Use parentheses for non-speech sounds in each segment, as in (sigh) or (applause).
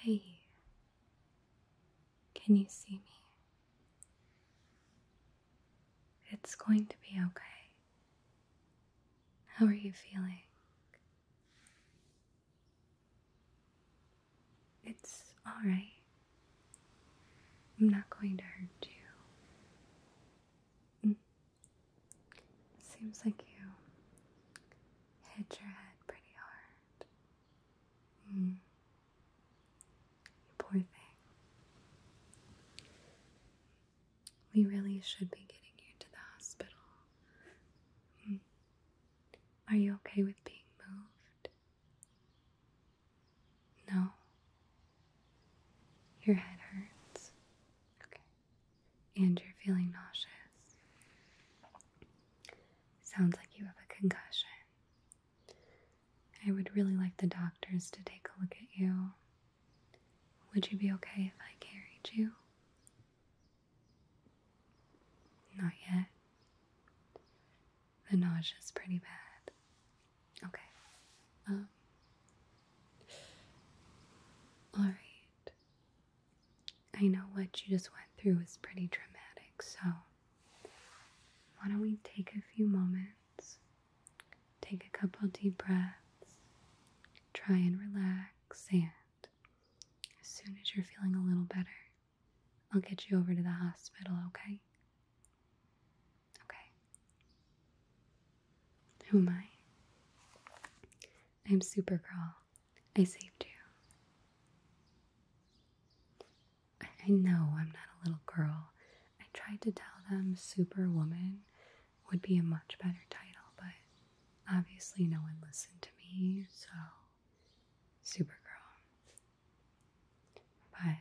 Hey, can you see me? It's going to be okay. How are you feeling? It's alright. I'm not going to hurt you. Mm. Seems like you hit your head pretty hard. Mm. poor thing. We really should be getting you to the hospital. Mm. Are you okay with being moved? No. Your head hurts. Okay and you're feeling nauseous. Sounds like you have a concussion. I would really like the doctors to take a look at you. Would you be okay if I carried you? Not yet. The nausea's pretty bad. Okay. Um. Alright. I know what you just went through was pretty dramatic, so why don't we take a few moments, take a couple deep breaths, try and relax, and as soon as you're feeling a little better, I'll get you over to the hospital, okay? Okay. Who am I? I'm Supergirl, I saved you. I, know I'm not a little girl. I tried to tell them Superwoman would be a much better title, but obviously no one listened to me, so Supergirl. But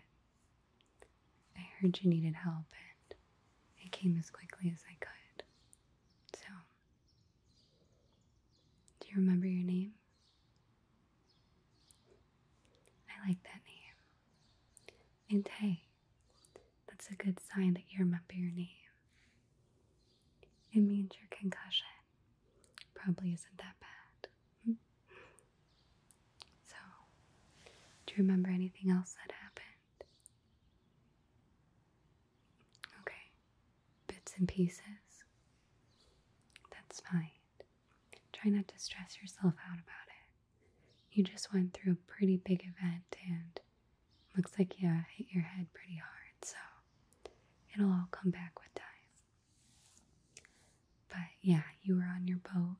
I heard you needed help and I came as quickly as I could. So do you remember your name? I like that name. And hey, that's a good sign that you remember your name. It means your concussion probably isn't that bad. (laughs) So, do you remember anything else that happened? Okay, bits and pieces. That's fine. Try not to stress yourself out about it. You just went through a pretty big event and looks like you hit your head pretty hard, so it'll all come back with time. But yeah, you were on your boat.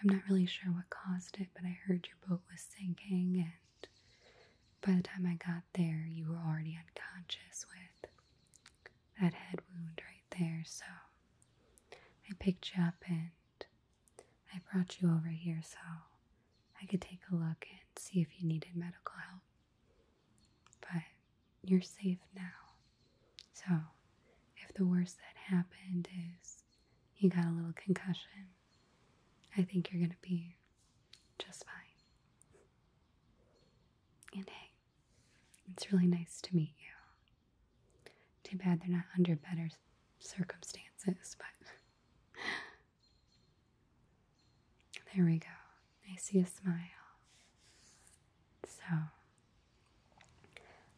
I'm not really sure what caused it, but I heard your boat was sinking and by the time I got there, you were already unconscious with that head wound right there. So I picked you up and I brought you over here so I could take a look and see if you needed medical help. But you're safe now. So if the worst that happened is you got a little concussion, I think you're going to be just fine. And hey, it's really nice to meet you. Too bad they're not under better circumstances, but (laughs) there we go. I see a smile. So,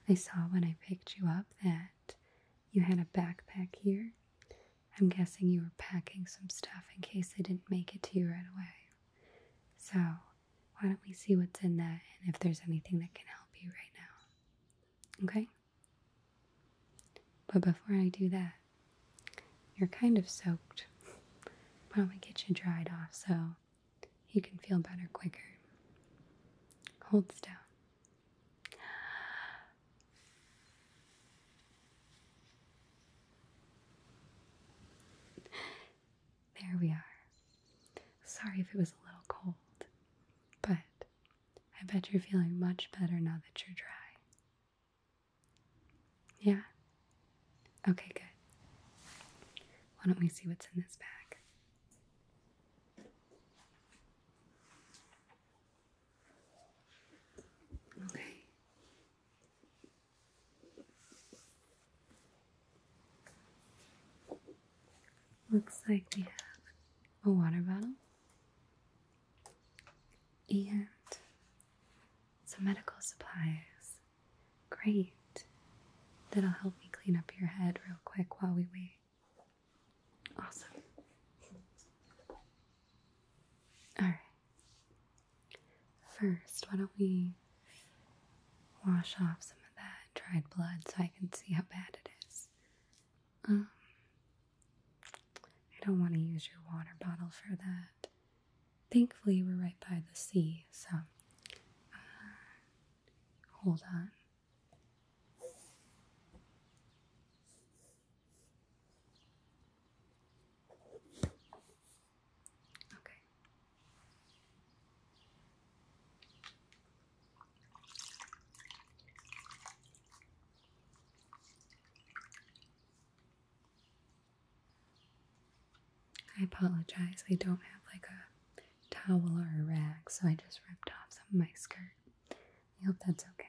I saw when I picked you up that you had a backpack here I'm guessing you were packing some stuff in case they didn't make it to you right away. So, why don't we see what's in that and if there's anything that can help you right now? Okay? But before I do that, you're kind of soaked. Why don't we get you dried off so you can feel better quicker? Hold still. There we are. Sorry if it was a little cold, but I bet you're feeling much better now that you're dry. Yeah? Okay, good. Why don't we see what's in this bag? Okay. Looks like we have a water bottle and some medical supplies. Great. That'll help me clean up your head real quick while we wait. Awesome. All right. First, why don't we wash off some of that dried blood so I can see how bad it is? Um, I don't want to use your water bottle for that. Thankfully, we're right by the sea, so uh, hold on. Okay. I apologize. I don't have like a towel or a rag, so I just ripped off some of my skirt. I hope that's okay.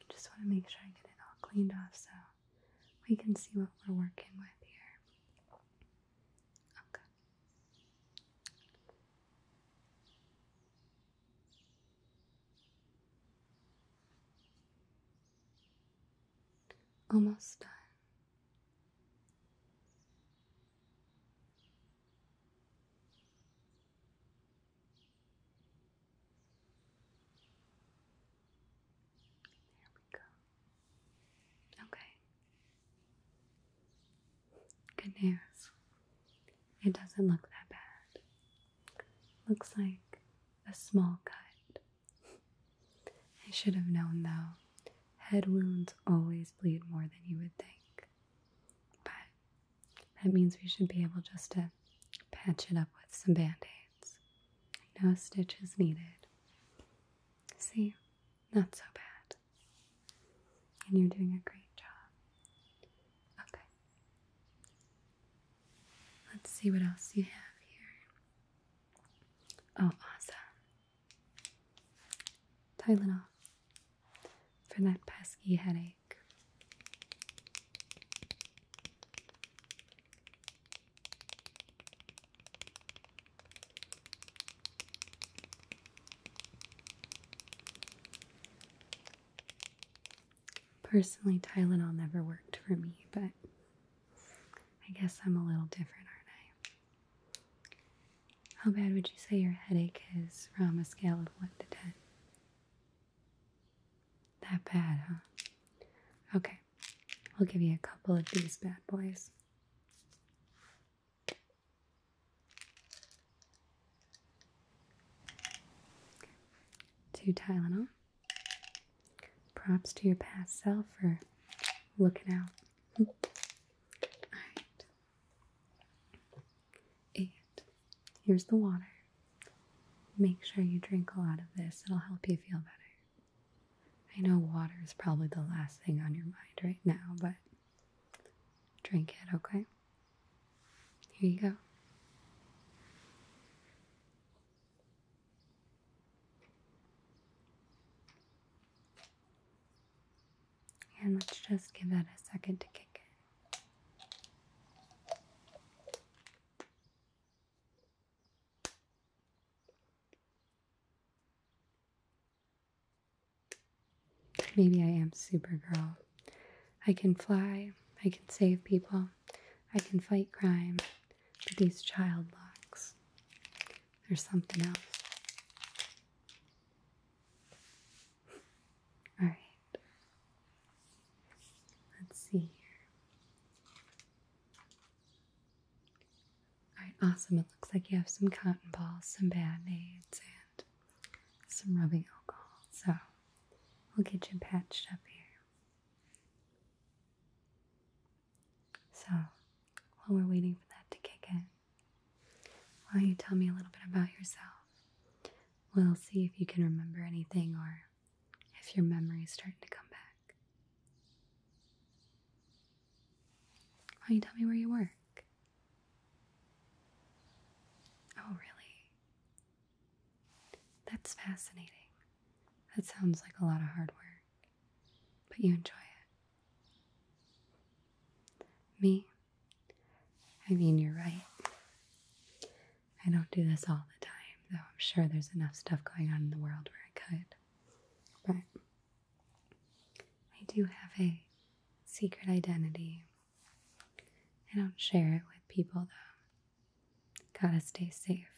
I just want to make sure I get it all cleaned off so we can see what we're working with here. Okay. Almost done. There we go. Okay. Good news. It doesn't look that bad. Looks like a small cut. I should have known though. Head wounds always bleed more than you would think. But that means we should be able just to patch it up with some band-aids. No stitches needed. See? Not so bad. And you're doing a great job. Okay. Let's see what else you have here. Oh, awesome. Tylenol for that pesky headache. Personally, Tylenol never worked for me, but I guess I'm a little different, aren't I? How bad would you say your headache is from a scale of 1 to 10? That bad, huh? Okay, I'll give you a couple of these bad boys. Okay. Two Tylenol. Props to your past self for looking out. (laughs) All right. And here's the water. Make sure you drink a lot of this, it'll help you feel better. I know water is probably the last thing on your mind right now, but drink it, okay? Here you go. And let's just give that a second to kick in. Maybe I am Supergirl. I can fly, I can save people, I can fight crime, but these child locks, there's something else. (laughs) All right. Let's see here. Alright, awesome. It looks like you have some cotton balls, some band aids, and some rubbing alcohol. So we'll get you patched up here. So while we're waiting for that to kick in, why don't you tell me a little bit about yourself? We'll see if you can remember anything or if your memory is starting to come back. Why oh, don't you tell me where you work? Oh, really? That's fascinating. That sounds like a lot of hard work, but you enjoy it. Me? I mean, you're right. I don't do this all the time, though I'm sure there's enough stuff going on in the world where I could. But I do have a secret identity. I don't share it with people, though. Gotta stay safe.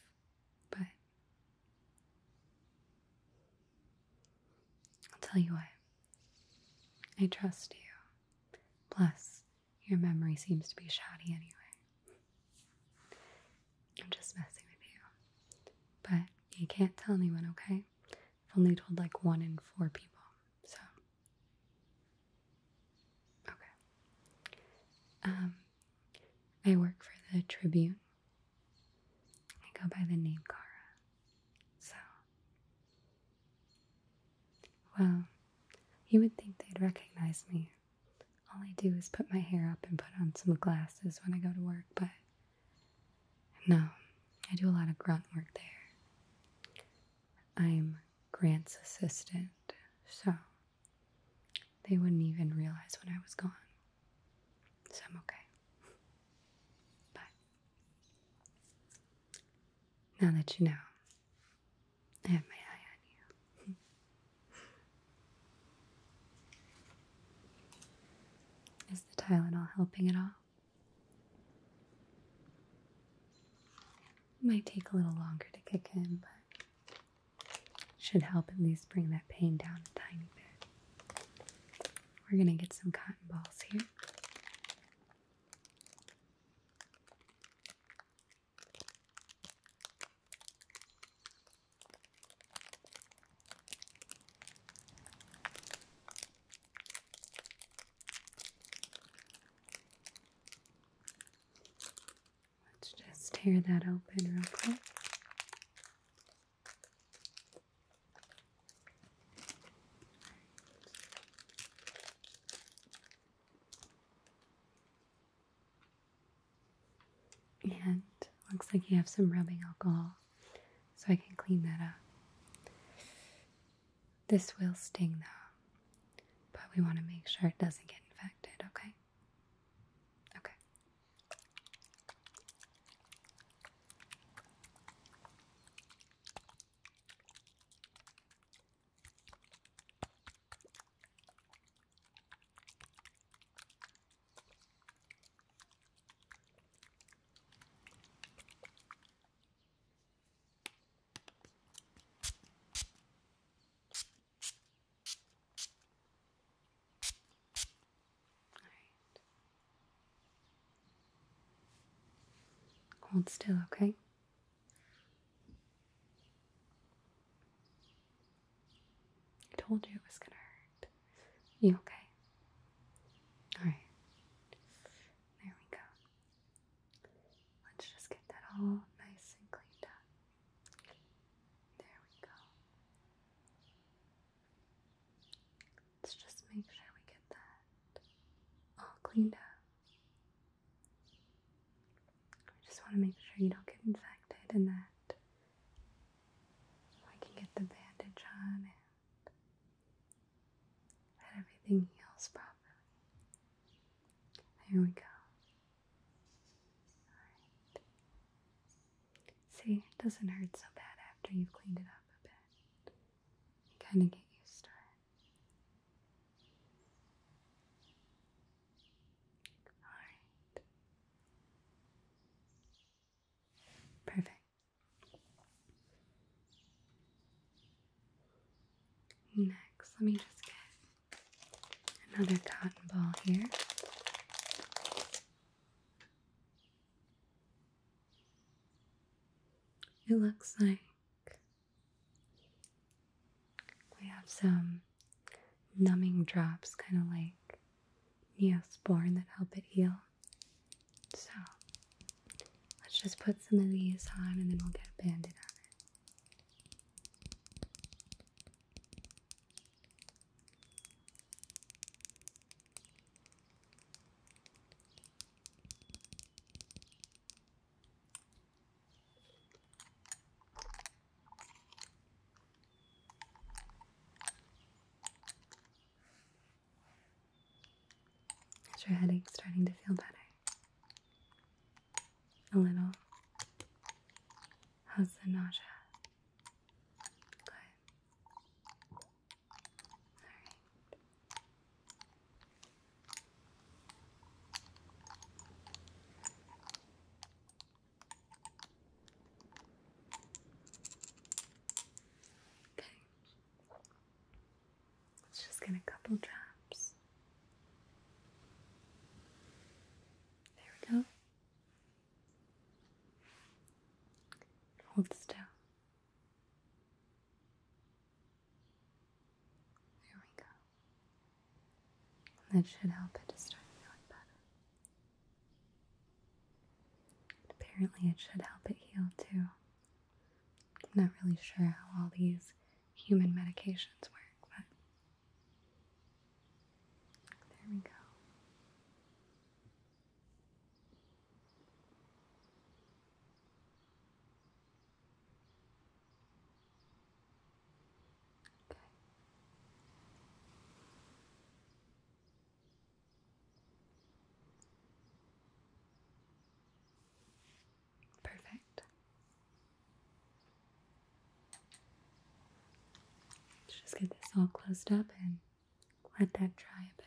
But I'll tell you what, I trust you. Plus, your memory seems to be shoddy anyway. I'm just messing with you. But you can't tell anyone, okay? I've only told like one in four people, so. Okay. Um, I work for the Tribune. I go by the name Kara. So, well, you would think they'd recognize me. All I do is put my hair up and put on some glasses when I go to work, but no, I do a lot of grunt work there. I'm Grant's assistant, so they wouldn't even realize when I was gone. So I'm okay. But now that you know, I have my eye on you. (laughs) Is the Tylenol helping at all? might take a little longer to kick in, but should help at least bring that pain down a tiny bit. We're gonna get some cotton balls here. Let's just tear that open real quick. And looks like you have some rubbing alcohol, so I can clean that up. This will sting though, but we want to make sure it doesn't get infected, okay? Okay. Hold still, okay? I told you it was gonna hurt. You okay? Alright. There we go. Let's just get that all nice and cleaned up. There we go. Let's just make sure we get that all cleaned up. I just want to make sure you don't get infected and that I can get the bandage on and that everything heals properly. There we go. Alright. See, it doesn't hurt so bad after you've cleaned it up a bit. You kind of get used to it. Perfect. Next, let me just get another cotton ball here. It looks like we have some numbing drops, kind of like Neosporin, that help it heal. So let's just put some of these on and then we'll get a bandage on. it. Is your headache starting to feel better? A little. How's the nausea? Good. All right. Okay. Let's just get a couple drops. There we go. Hold still. There we go. That should help it to start feeling better. Apparently, it should help it heal too. I'm not really sure how all these human medications work, but there we go. Okay. Perfect. Let's just get this all closed up and let that dry a bit.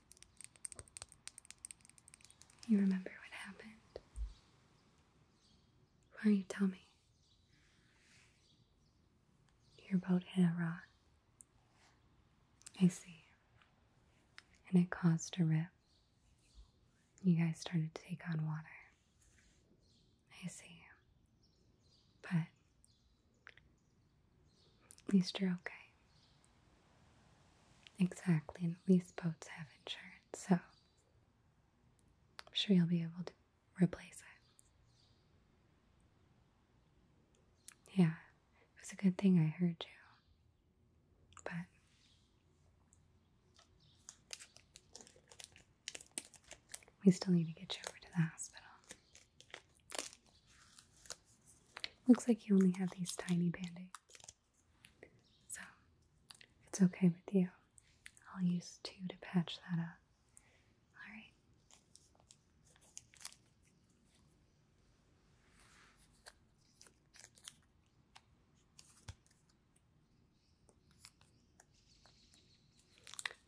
You remember what happened? Why don't you tell me? Your boat hit a rock. I see. And it caused a rip. You guys started to take on water. I see. But at least you're okay. Exactly, and at least boats have insurance, so I'm sure you'll be able to replace it. Yeah, it was a good thing I heard you. But we still need to get you over to the hospital. Looks like you only have these tiny band aids. So, it's okay with you, I'll use two to patch that up. Alright.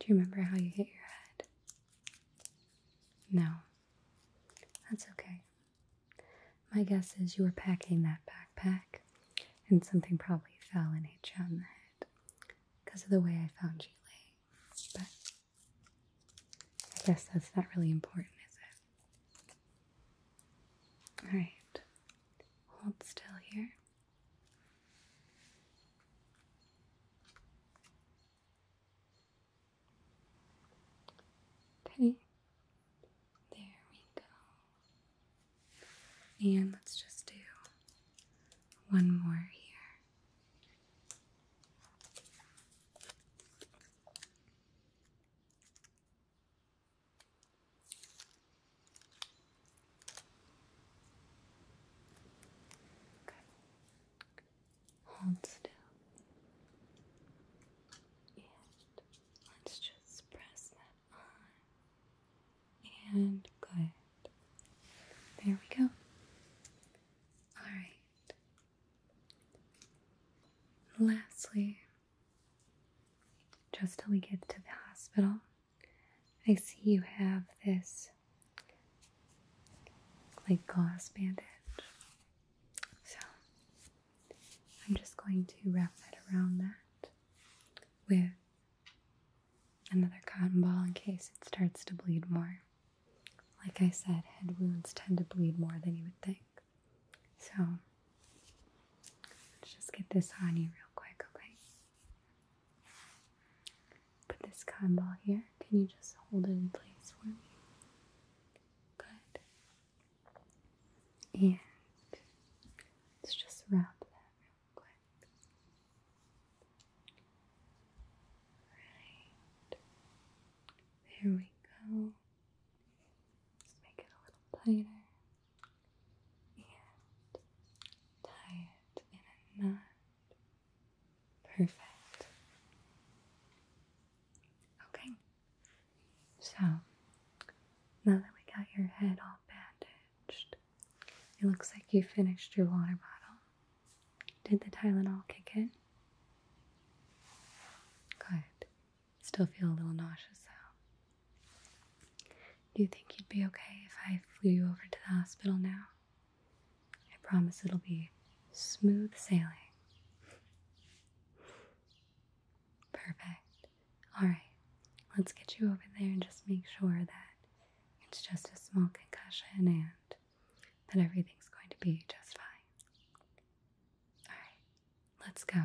Do you remember how you hit your head? No. That's okay. My guess is you were packing that backpack and something probably fell and hit you on the head because of the way I found you laying. But I guess that's not really important, is it? Alright, hold still here. Okay, there we go. And let's just do one more here. Okay. Hold still. And let's just press that on. And good. There we go. Alright. Lastly, just till we get to the hospital, I see you have this like gloss bandage so I'm just going to wrap that around that with another cotton ball in case it starts to bleed more. Like I said, head wounds tend to bleed more than you would think. So let's just get this on you real quick, okay? Put this cotton ball here. Can you just hold it in place for me? Good. And let's just wrap that real quick. Right. There we go. Let's make it a little tighter. And tie it in a knot. Perfect. Okay. So, now that we got your head all bandaged, it looks like you finished your water bottle. Did the Tylenol kick in? Good. Still feel a little nauseous though. Do you think you'd be okay if I flew you over to the hospital now? I promise it'll be smooth sailing. Perfect. Alright, let's get you over there and just make sure that it's just a small concussion and that everything's going to be just fine. Alright, let's go.